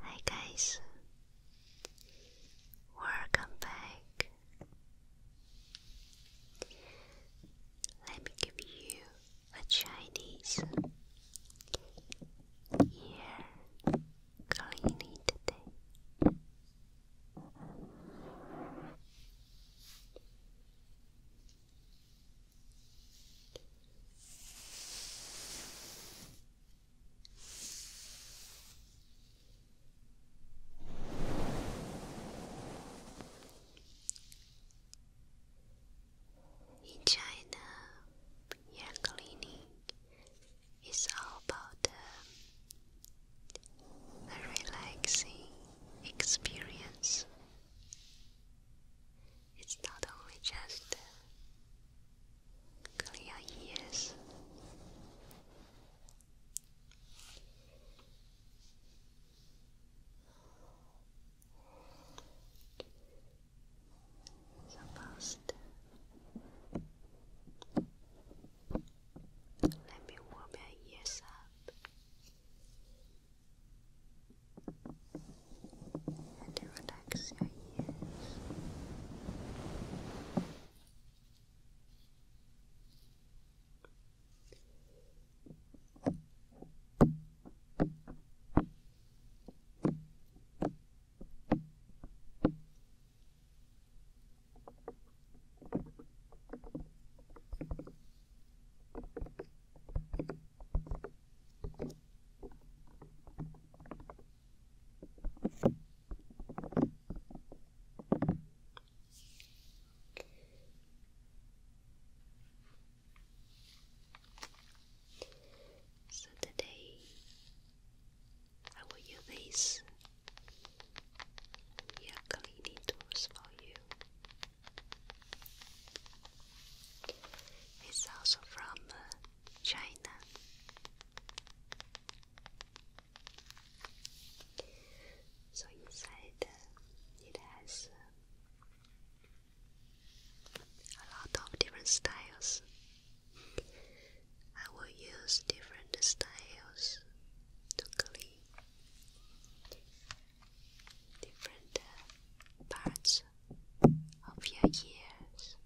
Hi guys, welcome back. Let me give you a Chinese ear cleaning today. In China, hair cleaning is all about a, relaxing experience. It's not only just clear ears. So fast. Let me warm your ears up and to relax your ears. So today I will use these cleaning tools for you. It's also from uh, China. So inside uh, it has uh, a lot of different styles. I will use different styles to clean different uh, parts of your ears.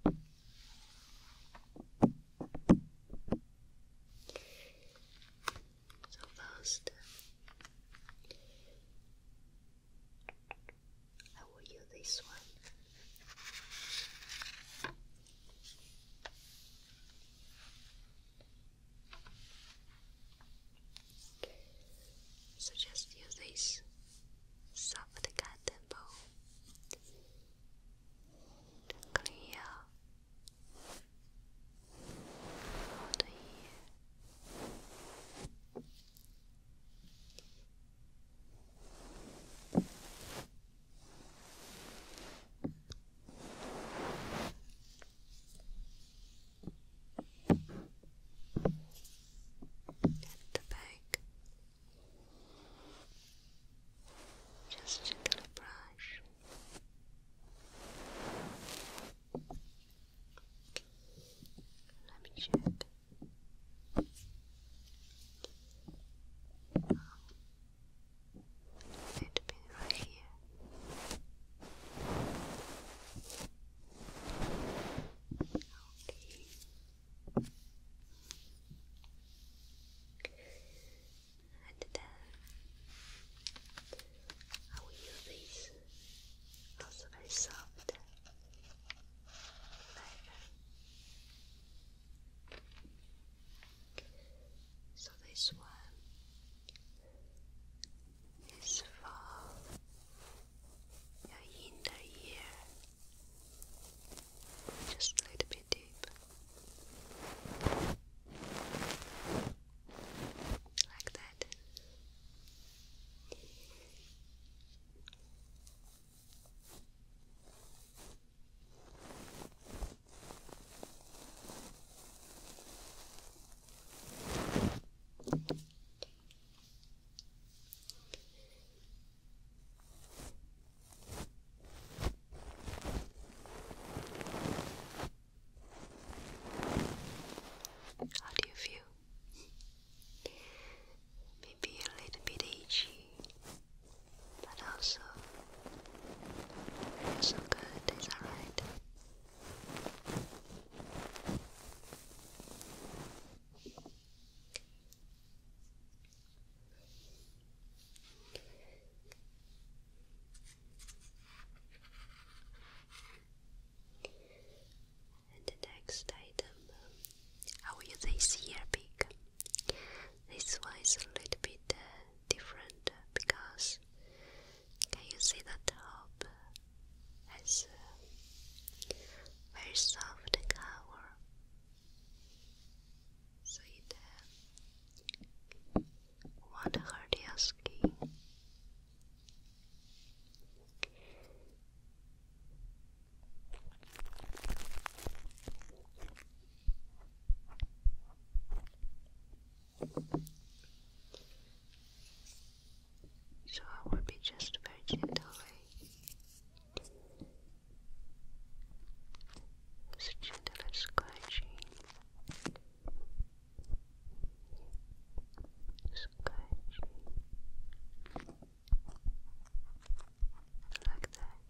So first, I will use this one. So just use this soft cotton clear all the ear. At the back, just a little brush. Let me check. Oh. It be right here. Okay. And then uh, I will use also very soft leather. So this one is for your inner ear just a little bit deep like that how do you feel? Maybe a little bit itchy, but also feels so good, is that right? the next item, I will use this ear This one is a little bit uh, different uh, because can you see the top has uh, very soft cover so you did. What hurt your skin? So I will be just very gentle. Just a gentle scratching. Scratching. Like that.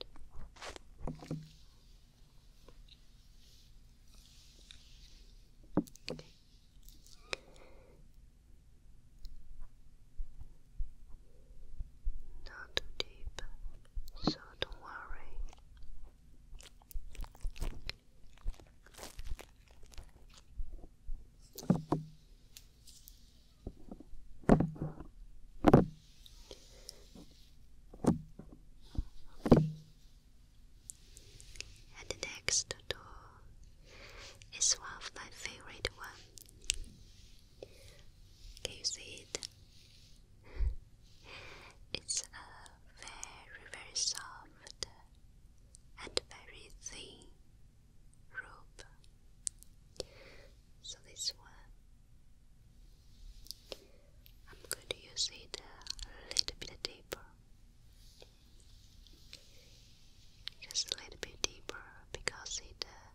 Not too deep, so don't worry. Okay. And the next door is one of my favorite ones. Can you see it? it's uh, very, very soft and very thin rope. So this one, I'm going to use it a little bit deeper. Just a little bit deeper because it uh,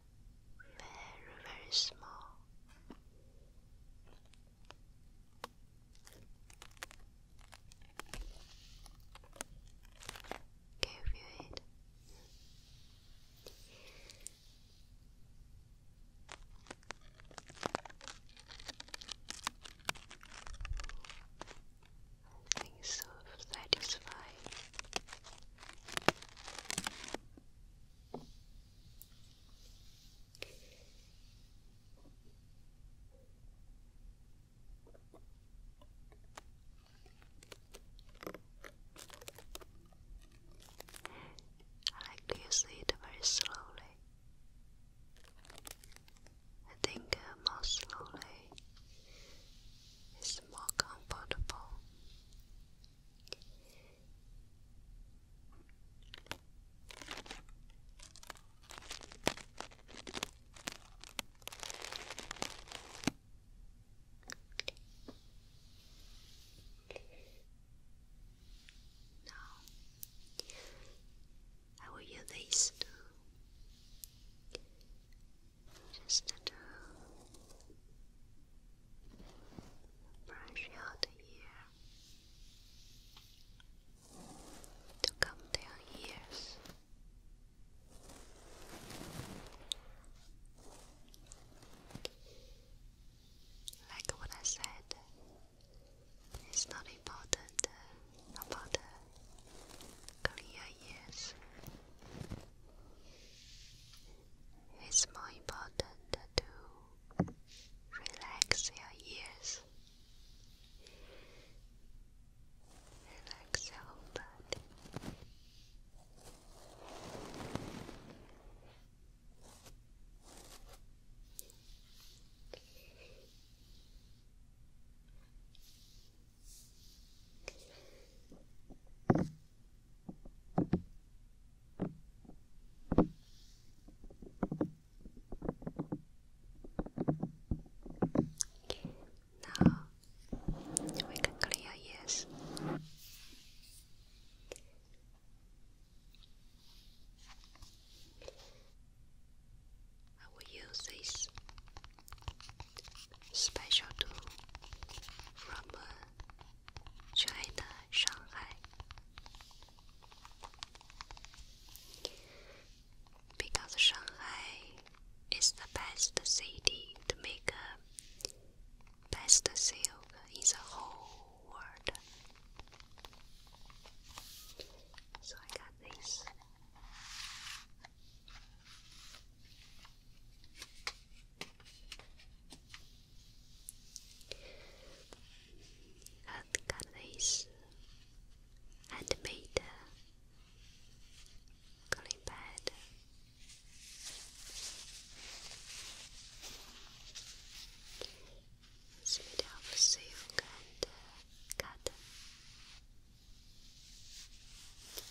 very, very small. Can think so satisfying. I like to use it very slowly. I think uh, more slowly it's more comfortable. Now, I will use this to just to brush out here to come down ears. Like what I said, it's not important uh, about the clear ears. It is more important to relax your ears, relax your body. Now we can clear ears. I will use this special tool from uh, China, Shanghai. Because Shanghai is the best city to make uh, best silk in the whole world. So I got this Earth got this and made a clean bed. It's of silk and cotton.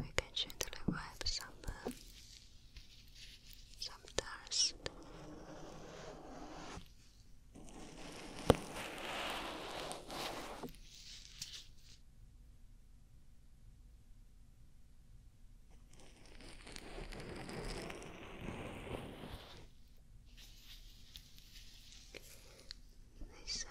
we can gently wipe some uh, some dust. They said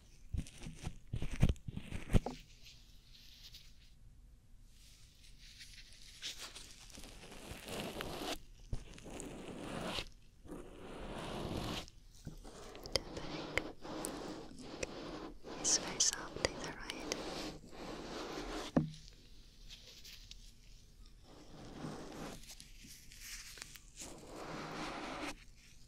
It's very soft, is that right?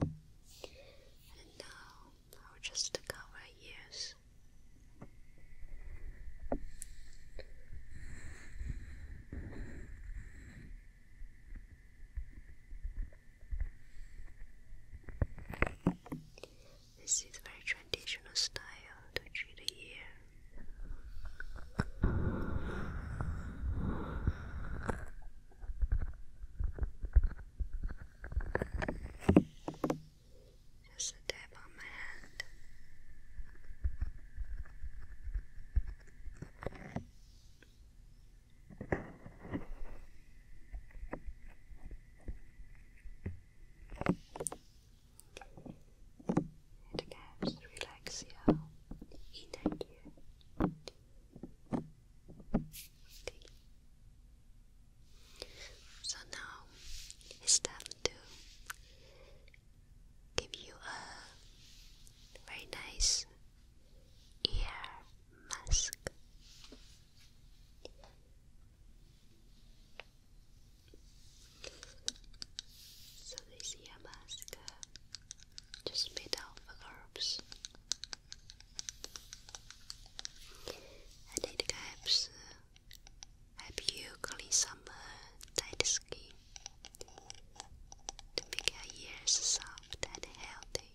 And now uh, I'll just cover ears. This is very traditional style to treat the ear. Just a dab on my hand. It helps relax your inner so now it's time to give you a very nice ear mask. So this ear mask uh, just made out of herbs. Handicap's help uh, you clean some tight skin to make your ears soft and healthy.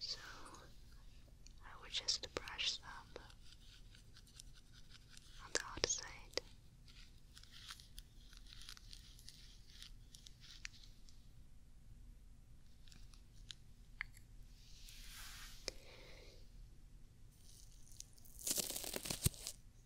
So I will just brush some on the outside.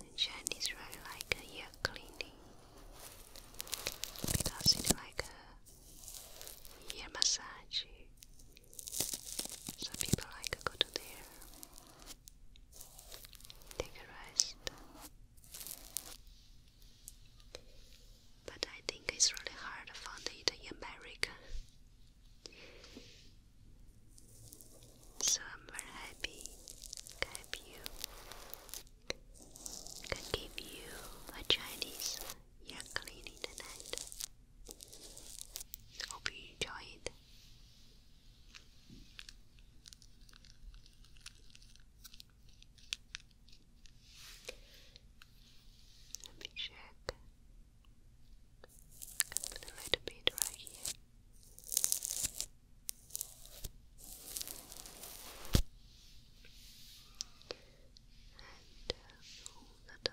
The Chinese really like a ear cleaning because it's like a ear massage. So people like to go to there, take a rest. But I think it's really hard to find it in America. So I'm very happy can help you. can give you a Chinese ear cleaning tonight. Hope you enjoy it. Let me check. put a little bit right here. And uh, roll that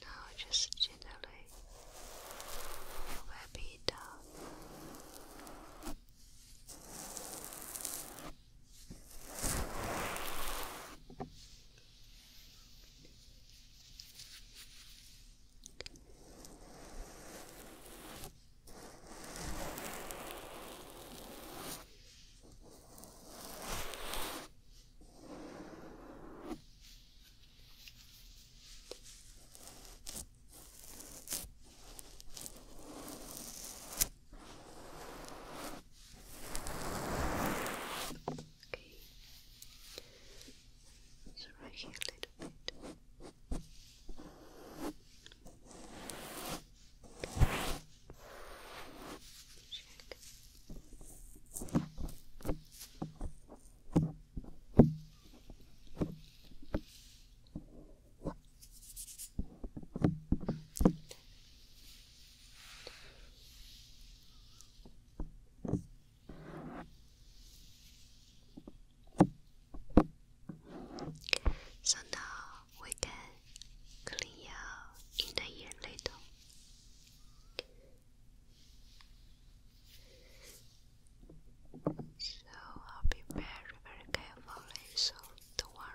Now just gently wrap it up. Okay. So right here a little bit check. So now we can clean your inner ear little. So I'll be very, very careful, so don't worry.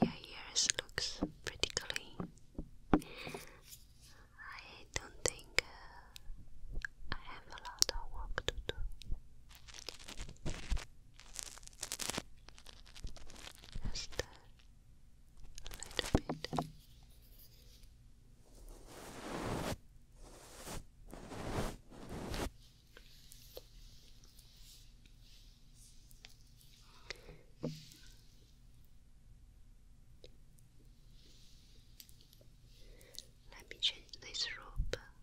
Your ears looks pretty clean. I don't think uh, I have a lot of work to do. Just a little bit. Let me change this robe.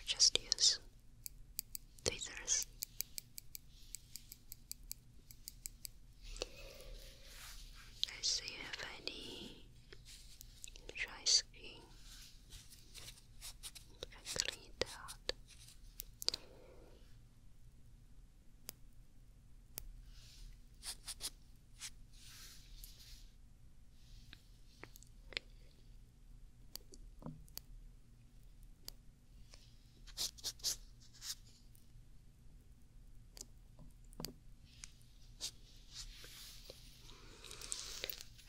And just use tweezers. Let's see if any dry skin clean it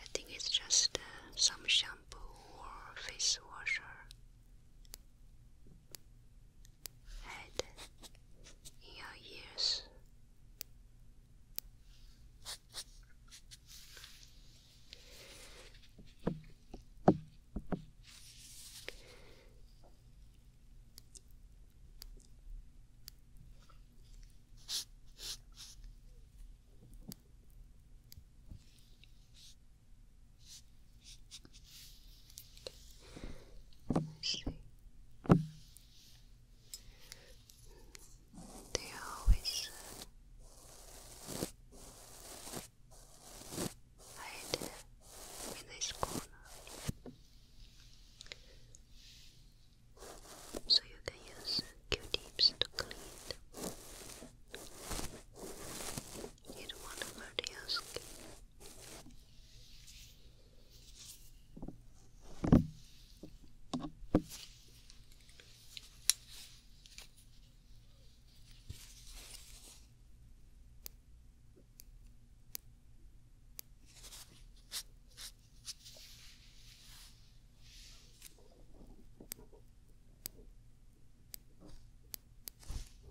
I think it's just uh, some shampoo or face washer head, in your ears let They always hide in this corner, so you can use Q-tips to clean them. You don't want to hurt your skin. Okay.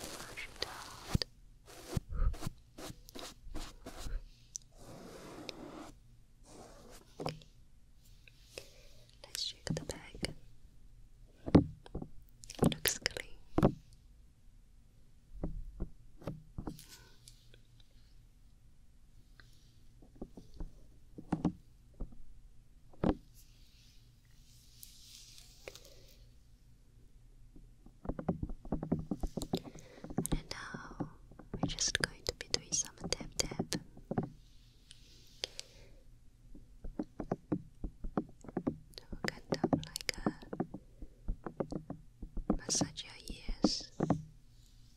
Wash it out. Okay. Let's check the bag. Looks clean. And now uh, we're just going to be doing some tap tap. So kind of like a massage your ears.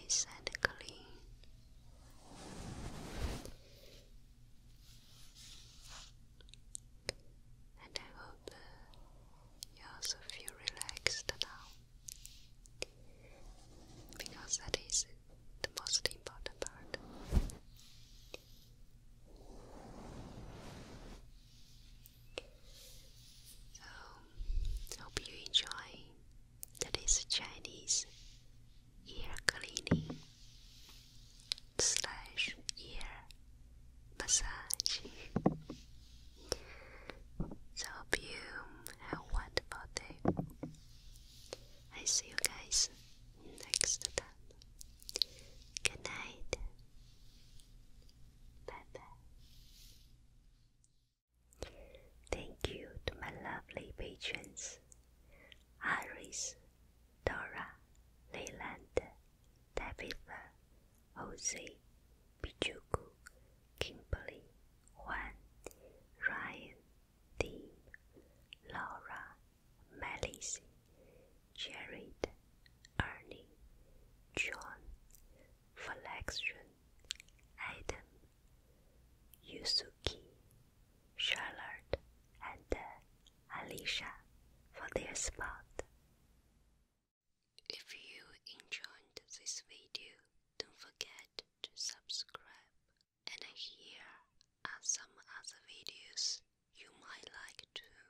nice and clean. And I hope uh, you also feel relaxed now, because that is the most important part. So, hope you enjoy today's Chinese ear cleaning slash ear massage. So, you have wonderful day. I see you guys next time. Good night. Bye bye. Thank you to my lovely patrons Iris, Dora, Leyland, Tabitha, Jose, Pichuku, Kimberly, Juan, Ryan, Dean, Laura, Melissa, Jared, Ernie, John, Flexion, Adam, Yusuke, Charlotte, and uh, Alicia for their spot. If you enjoyed this video, don't forget to subscribe. And here are some other videos you might like too.